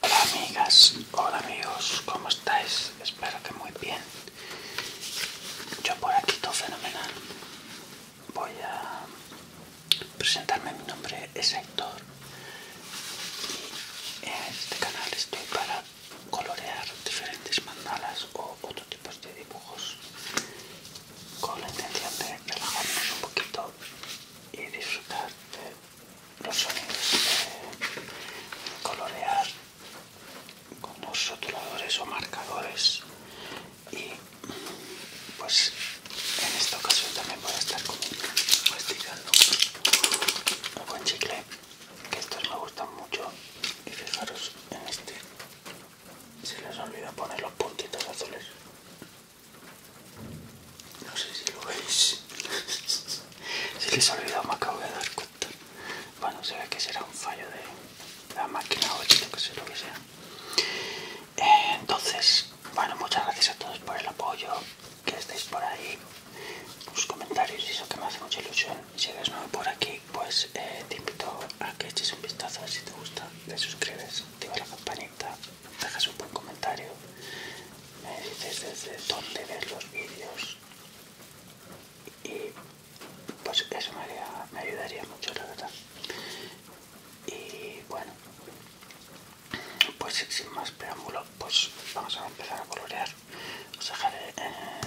Hola amigas, hola amigos, ¿cómo estáis? Espero que muy bien. Yo por aquí todo fenomenal. Voy a presentarme, mi nombre es Héctor. Y en este canal estoy para colorear diferentes mandalas o otros tipos de dibujos con la intención de relajarnos un poquito y disfrutar de los sonidos de colorear con los rotuladores o marcadores y pues en esta ocasión también voy a estar con, un con chicle que estos me gustan mucho y fijaros en este se les olvida poner los puntitos azules no sé si lo veis. Se les ha olvidado, me acabo de dar cuenta. Bueno, se ve que será un fallo de la máquina o lo que sea. Lo que sea. entonces, bueno, muchas gracias a todos por el apoyo, que estéis por ahí, los comentarios y eso que me hace mucha ilusión. Si eres nuevo por aquí, pues eh, te invito a que eches un vistazo si te gusta, te suscribes, activa la campanita dejas un buen comentario, me dices desde dónde ves los vídeos y pues eso me, ayudaría mucho, la verdad. Y bueno, pues sin más preámbulo, pues vamos a empezar a colorear. Os dejaré eh,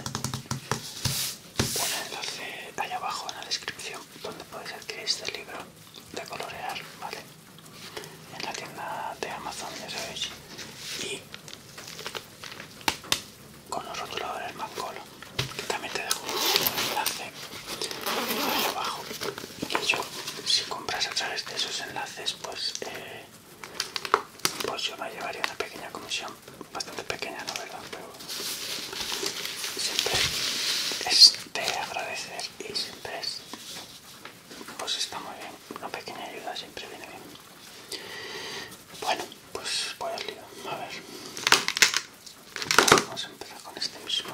un enlace allá abajo en la descripción donde podéis adquirir este libro de colorear, ¿vale? en la tienda de Amazon, ya sabéis, y con los rotuladores Mancolo, que también te dejo un enlace abajo. y yo, si compras a través de esos enlaces, pues, eh, pues yo me llevaría una pequeña comisión, bastante pequeña, no verdad, pero siempre es de agradecer y siempre es pues está muy bien. Una pequeña ayuda siempre viene bien. Bueno, pues voy al lío. A ver. Vamos a empezar con este mismo.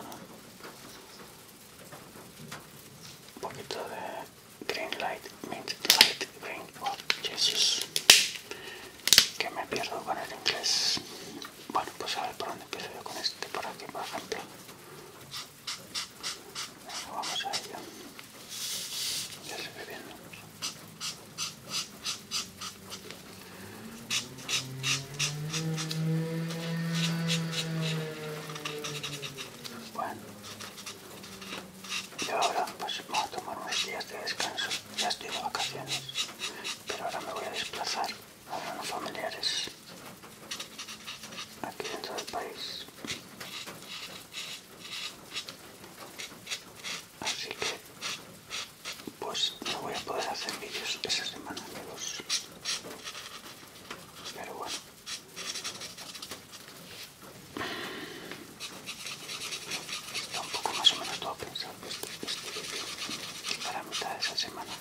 Un poquito de green light, mint light, green. Oh, Jesus. Que me pierdo con el inglés. Bueno, pues a ver por dónde empiezo yo con este. Por aquí, por ejemplo vamos a ello. Ya se ve bien. Bueno, Y ahora pues voy a tomar unos días de descanso. Ya estoy de vacaciones, pero ahora me voy a desplazar a los familiares aquí dentro del país así que pues no voy a poder hacer vídeos esa semana de dos pero bueno está un poco más o menos todo pensado pues, este, este vídeo para mitad de esa semana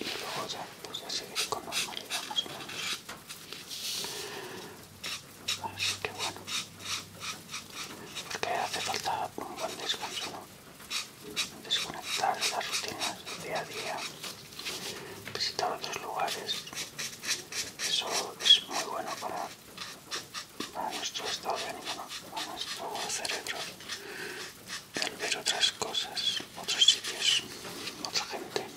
y luego ya pues ya seguir con normalidad más o menos así que bueno porque hace falta un buen descanso ¿no? desconectar las rutinas del día a día visitar otros lugares eso es muy bueno para, nuestro estado de ánimo para nuestro cerebro el ver otras cosas otros sitios otra gente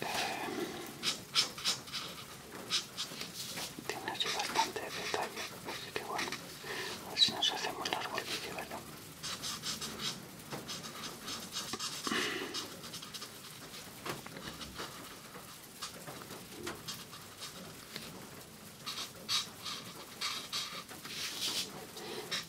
Eh, tiene bastante detalle así bueno a si nos hacemos largo el verdad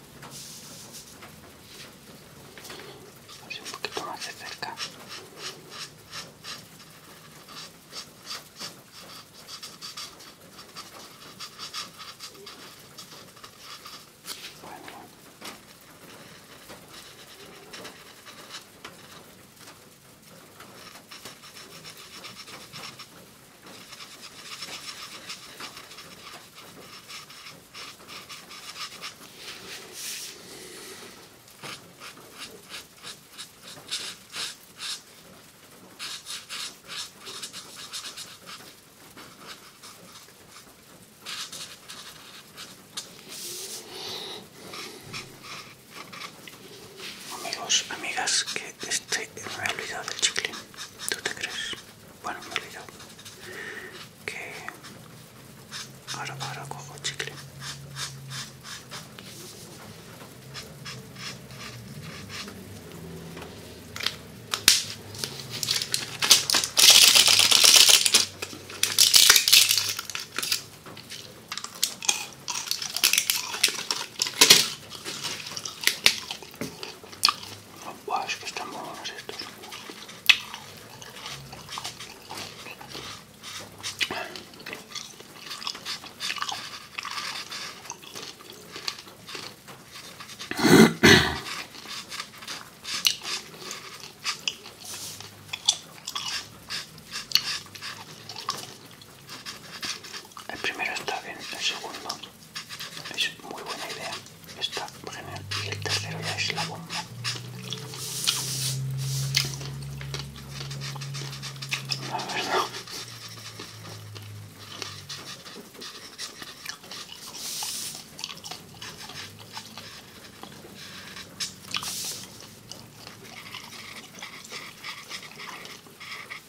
Así un poquito más de cerca. Amigos, amigas, que este en olvidado del chicle, ¿tú te crees? bueno me he olvidado que ahora ahora cojo chicle Guau, es que están estos. El primero está bien, el segundo es muy buena idea esta general, y el tercero ya es la bomba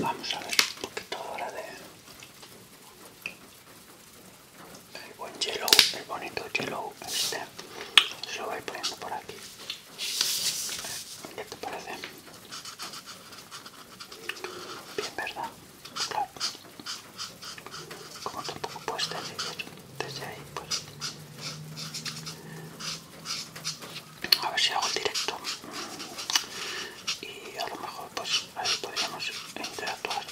Vamos a ver un poquito ahora de... El buen yellow, el bonito yellow, este, se lo voy poniendo por aquí. ¿Qué te parece? Bien, ¿verdad? como tampoco puedes tener desde ahí pues a ver si hago el directo y a lo mejor pues ahí podríamos interactuar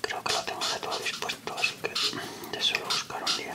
creo que lo tengo de todo dispuesto así que de suelo buscar un día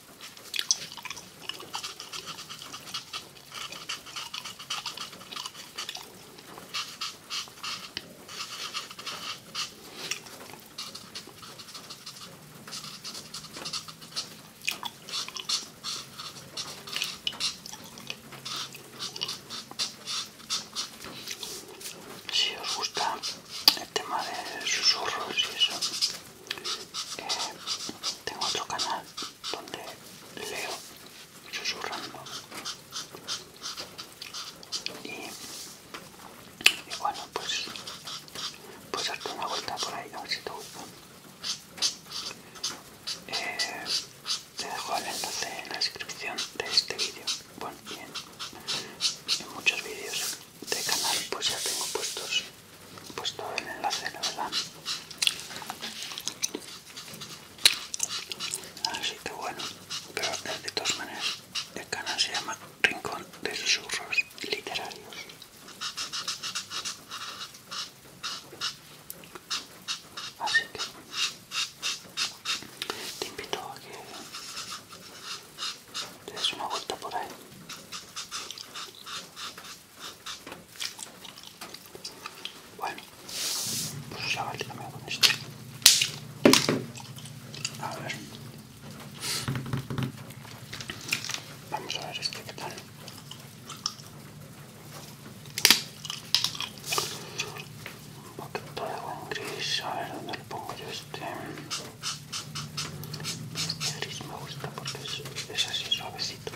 Si os gusta el tema de susurros y eso eh, tengo otro canal donde leo susurrando y, y bueno pues pues darte una vuelta por ahí a ver si te eh, te dejo el enlace en la descripción de este vídeo bueno y en muchos vídeos de canal pues ya tengo puestos puesto el enlace la verdad así que bueno pero de todas maneras el canal se llama rincón de susurros literarios así que te invito a que te des una vuelta por ahí bueno, pues ya que me también con este A ver. Vamos a ver este que tal. Un poquito de agua gris, a ver dónde le pongo yo este. Este gris me gusta porque es, es así suavecito.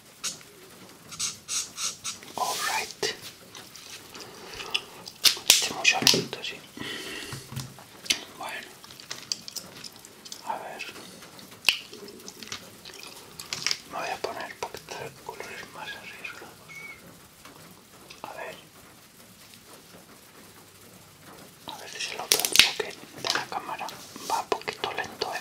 Alright. Este mucho lento, sí. Bueno. A ver. Me voy a poner para colores más arriesgados. A ver. A ver si se lo veo porque de la cámara va un poquito lento, eh.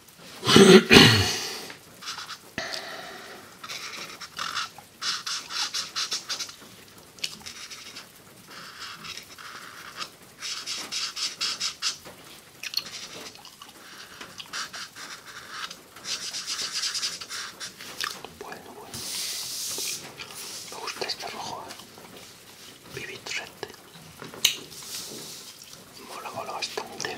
Bueno, bueno. Me gusta este rojo, ¿eh? trente. Red. Mola, mola bastante.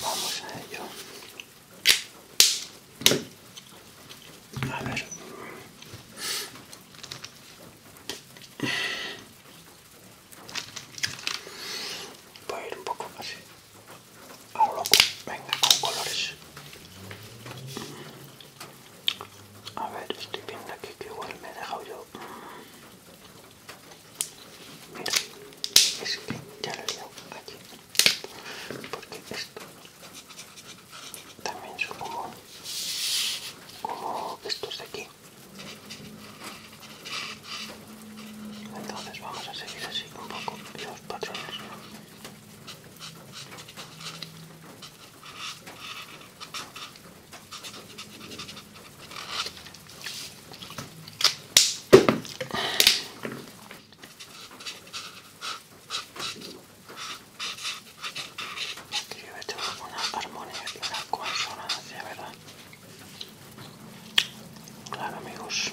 Vamos a ello. A ver. Voy a ir un poco así. A lo loco. Venga, con colores. A ver, estoy viendo aquí que igual me he dejado yo. Mira, es que ya lo he liado aquí. Porque esto también es como, como estos de aquí. Entonces vamos a seguir así un poco los patrones. Escribe esto, tener una armonía y una consonancia, ¿verdad? Claro, amigos.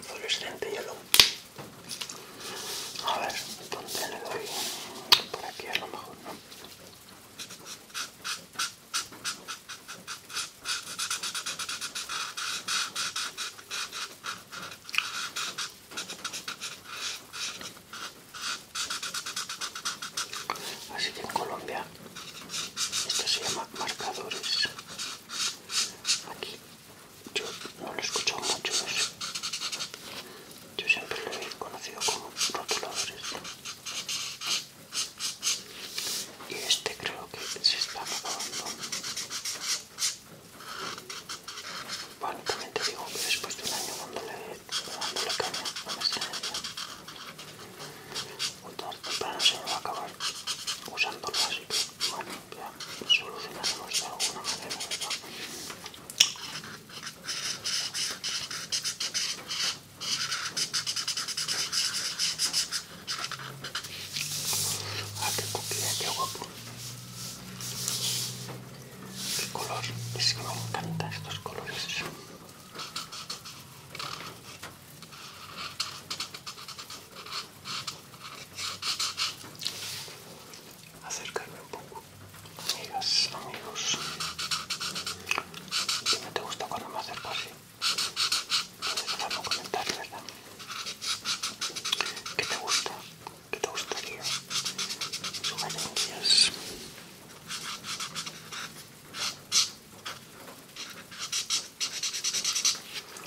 fluorescente hielo a ver dónde le doy por aquí es lo mejor Así que en Colombia esto se llama marcadores. Aquí yo no lo he escuchado mucho Yo siempre lo he conocido como este, Y este creo que se está acabando. Bueno, digo que después de un año dándole, le caña a la esencia, un tarde para temprano se me va a acabar usándolo así que, bueno, limpia, solucionaremos de alguna manera, ¿verdad? Ah, qué coquilla, qué guapo. Qué color, es que me encantan estos colores acercarme un poco amigas amigos si no te gusta cuando me acerco así puedes dejarme un comentario verdad que te gusta que te gustaría guías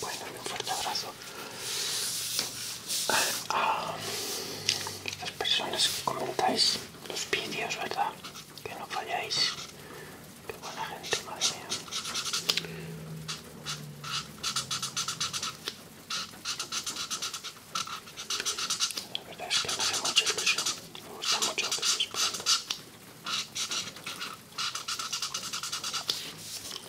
Bueno, un fuerte abrazo a las personas que comentáis los vídeos, ¿verdad? Que no falláis. Qué buena gente, madre mía. La verdad es que me hace mucha ilusión. Me gusta mucho lo que estáis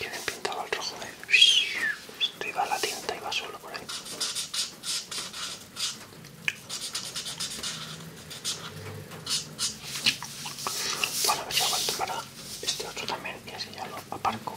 he pintado al rojo, eh. Esto iba a la tinta, va solo por ahí. Bueno, a ver si para este otro también y así ya lo aparco.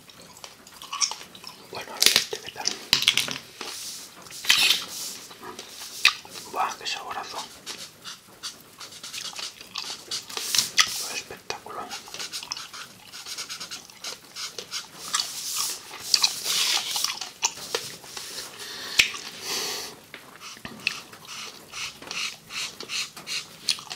Bueno, a ver este qué tal. Buah, qué saborazo. Espectacular.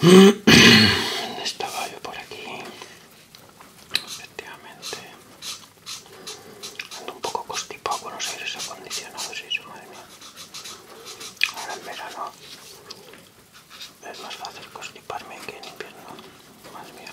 Estaba yo por aquí. Efectivamente. Ando un poco constipado con los aires acondicionados eso, madre mía. Ahora en verano es más fácil costiparme que en invierno. más mía.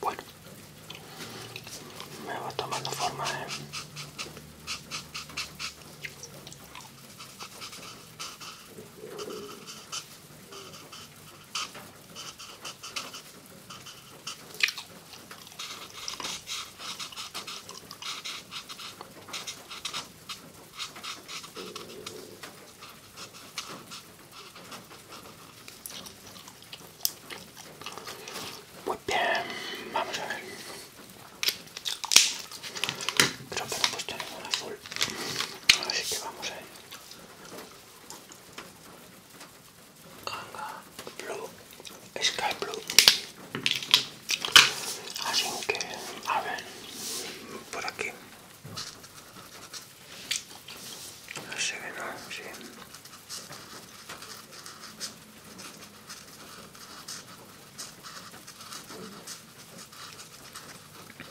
Bueno, me va tomando forma, hein ¿eh? Muy bien, vamos a ver. Creo que no he puesto ningún azul. Así que vamos a ver Blue, Sky Blue. Así que, a ver, por aquí. no sé, no, sí.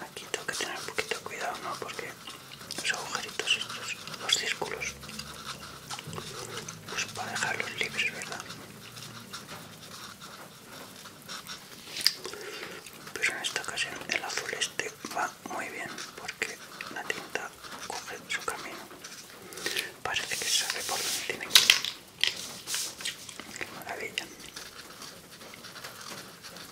Aquí tengo que tener un poquito cuidado, ¿no? Porque los agujeritos estos, los círculos, pues para dejarlos libres, ¿verdad? Pero en esta ocasión el azul este va muy bien porque la tinta coge su camino. Parece que se por donde tiene que ir. Qué maravilla.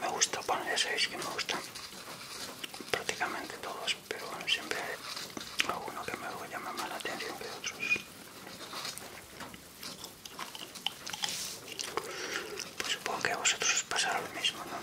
me gusta, pan, seis que me gustan prácticamente todos, pero bueno, siempre hay alguno que me llama más la atención que otros. Pues supongo que a vosotros os pasará lo mismo, ¿no?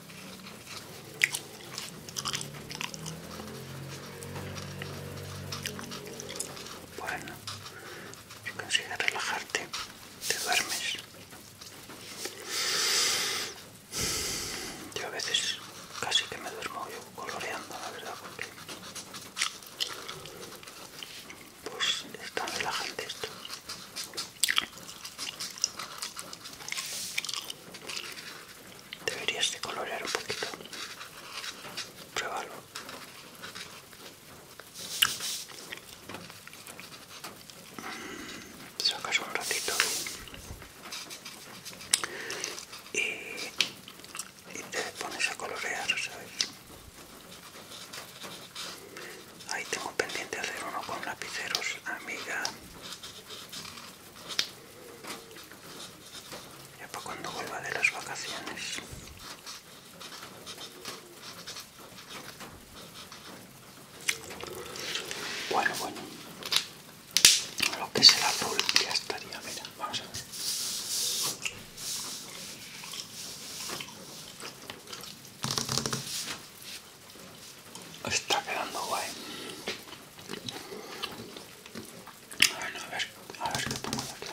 Bueno, si consigues relajarte, te duermes. Yo a veces casi que me duermo yo coloreando, la verdad, porque pues es tan relajante esto. Deberías de colorear un poquito. Pruébalo. Mm, sacas un ratito y, te pones a colorear, ¿sabes? Ahí tengo pendiente hacer uno con lapiceros, amiga. Ya para cuando vuelva de las vacaciones. Bueno, bueno. Lo que es el azul ya estaría. Mira, vamos a ver. Está quedando guay. a ver, a ver qué pongo aquí.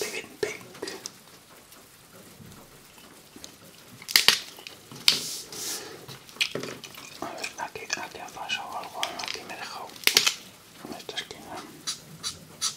Pink, pink. A ver, aquí, aquí ha pasado algo, aquí me he dejado en esta esquina.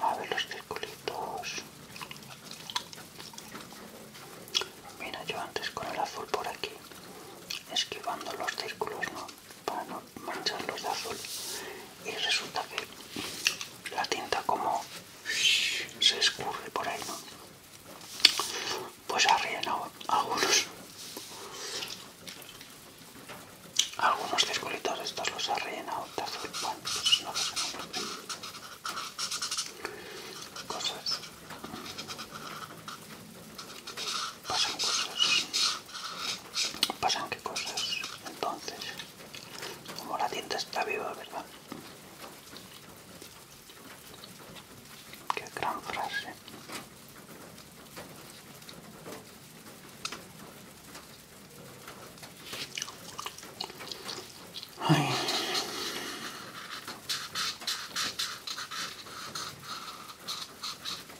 A ver los círculos Mira, yo antes con el azul por aquí, esquivando los círculos, ¿no? para no mancharlos de azul y resulta que la tinta como se escurre por ahí, Pues ha rellenado algunos algunos circulitos estos los ha rellenado de azul, bueno, pues no cosas pasan cosas Pasan qué cosas. Entonces, como la tienda está viva, ¿verdad? Qué gran frase.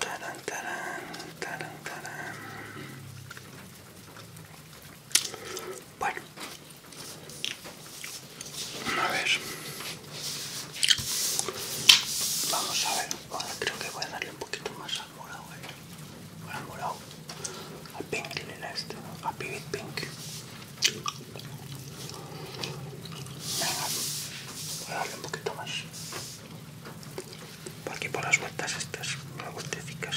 Tarán, tarán, tarán, tarán. Bueno, a ver, vamos a ver. Bueno, creo que voy a darle un poquito más al morado, ¿eh? Al morado. Al pink le este, A pivot pink. Venga, voy a darle un poquito más. Por aquí por las vueltas estas, las vueltecicas.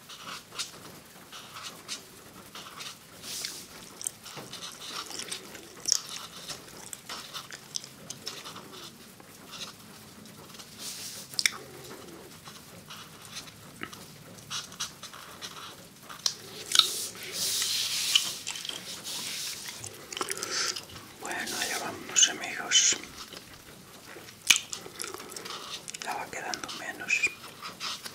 Bueno, ya vamos amigos. Ya va quedando menos.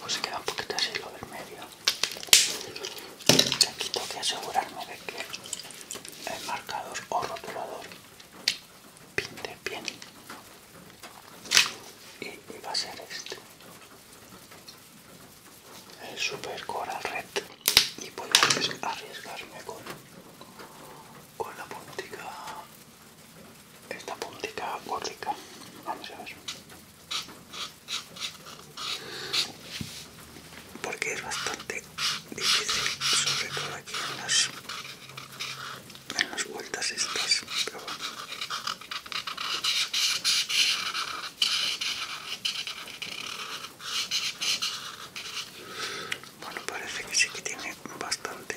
pues se queda un poquito así lo del medio aquí tengo que asegurarme de que el marcador o rotulador pinte bien y, va a ser este el super coral red y voy a arriesgarme con, con la puntica esta puntica górdica. Vamos a ver. Porque es bastante difícil, sobre todo aquí en las, en las vueltas estas. Pero bueno, parece que sí que tiene bastante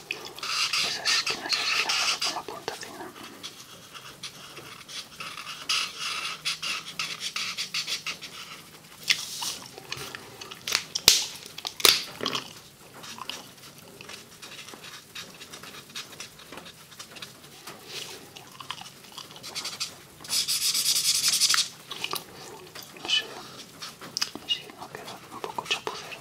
esas esquinas así las hago con la punta fina no sé si no queda un poco chapucero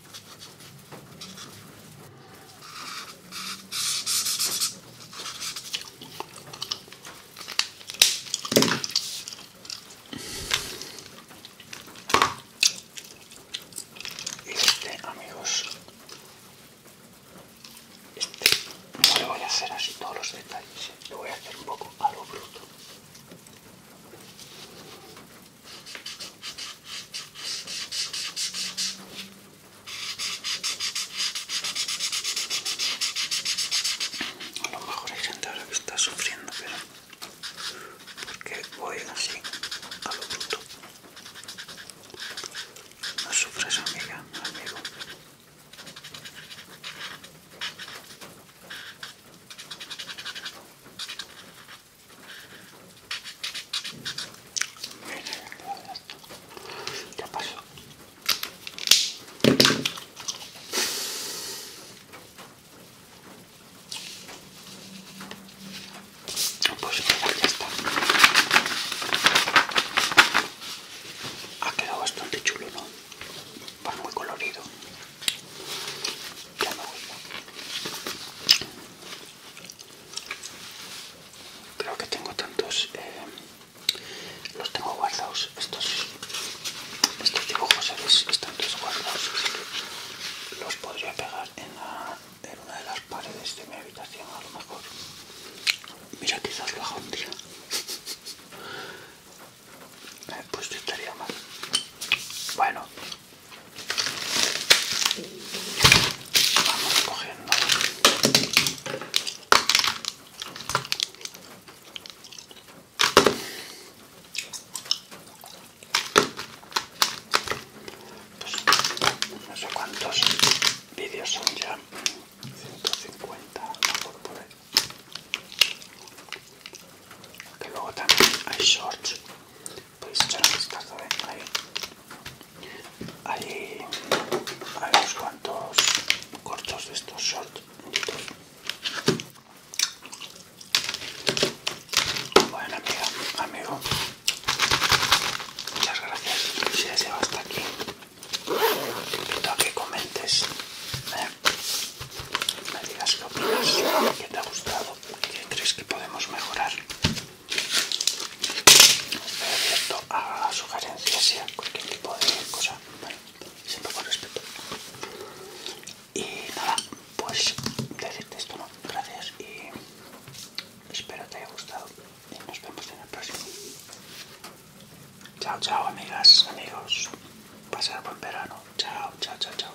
Este, amigos, este no le voy a hacer así todos los detalles, ¿eh? le voy a hacer un poco a lo bruto. A lo mejor hay gente ahora que está sufriendo, pero porque voy así a lo bruto. No sufres, amiga, amigo. Ya pasó. Pues ya está. Ha quedado bastante chulo, ¿no? Va muy colorido. Ya Creo que tengo tantos... Eh, los tengo guardados. Estos, estos dibujos, Están todos guardados. los podría pegar en, una de las paredes de mi habitación, a lo mejor. Mira, quizás lo haga un día. Eh, pues estaría mal. Bueno, Vamos cogiendo. Pues, no sé cuántos vídeos son ya. 150 cincuenta, no por Que luego también hay shorts podéis echar un vistazo ¿eh? ahí ahí hay unos cuantos cortos de estos shorts bueno amiga amigo muchas gracias si has llegado hasta aquí te invito a que comentes ¿eh? me digas qué opinas qué te ha gustado qué crees que podemos mejorar estoy abierto a sugerencias y a cualquier tipo de cosa, Bueno, siempre con respeto. Y nada, pues decirte esto, ¿no? Gracias y espero te haya gustado. Y nos vemos en el próximo. Chao, chao, amigas, amigos. Pasar buen verano. Chao, chao, chao, chao.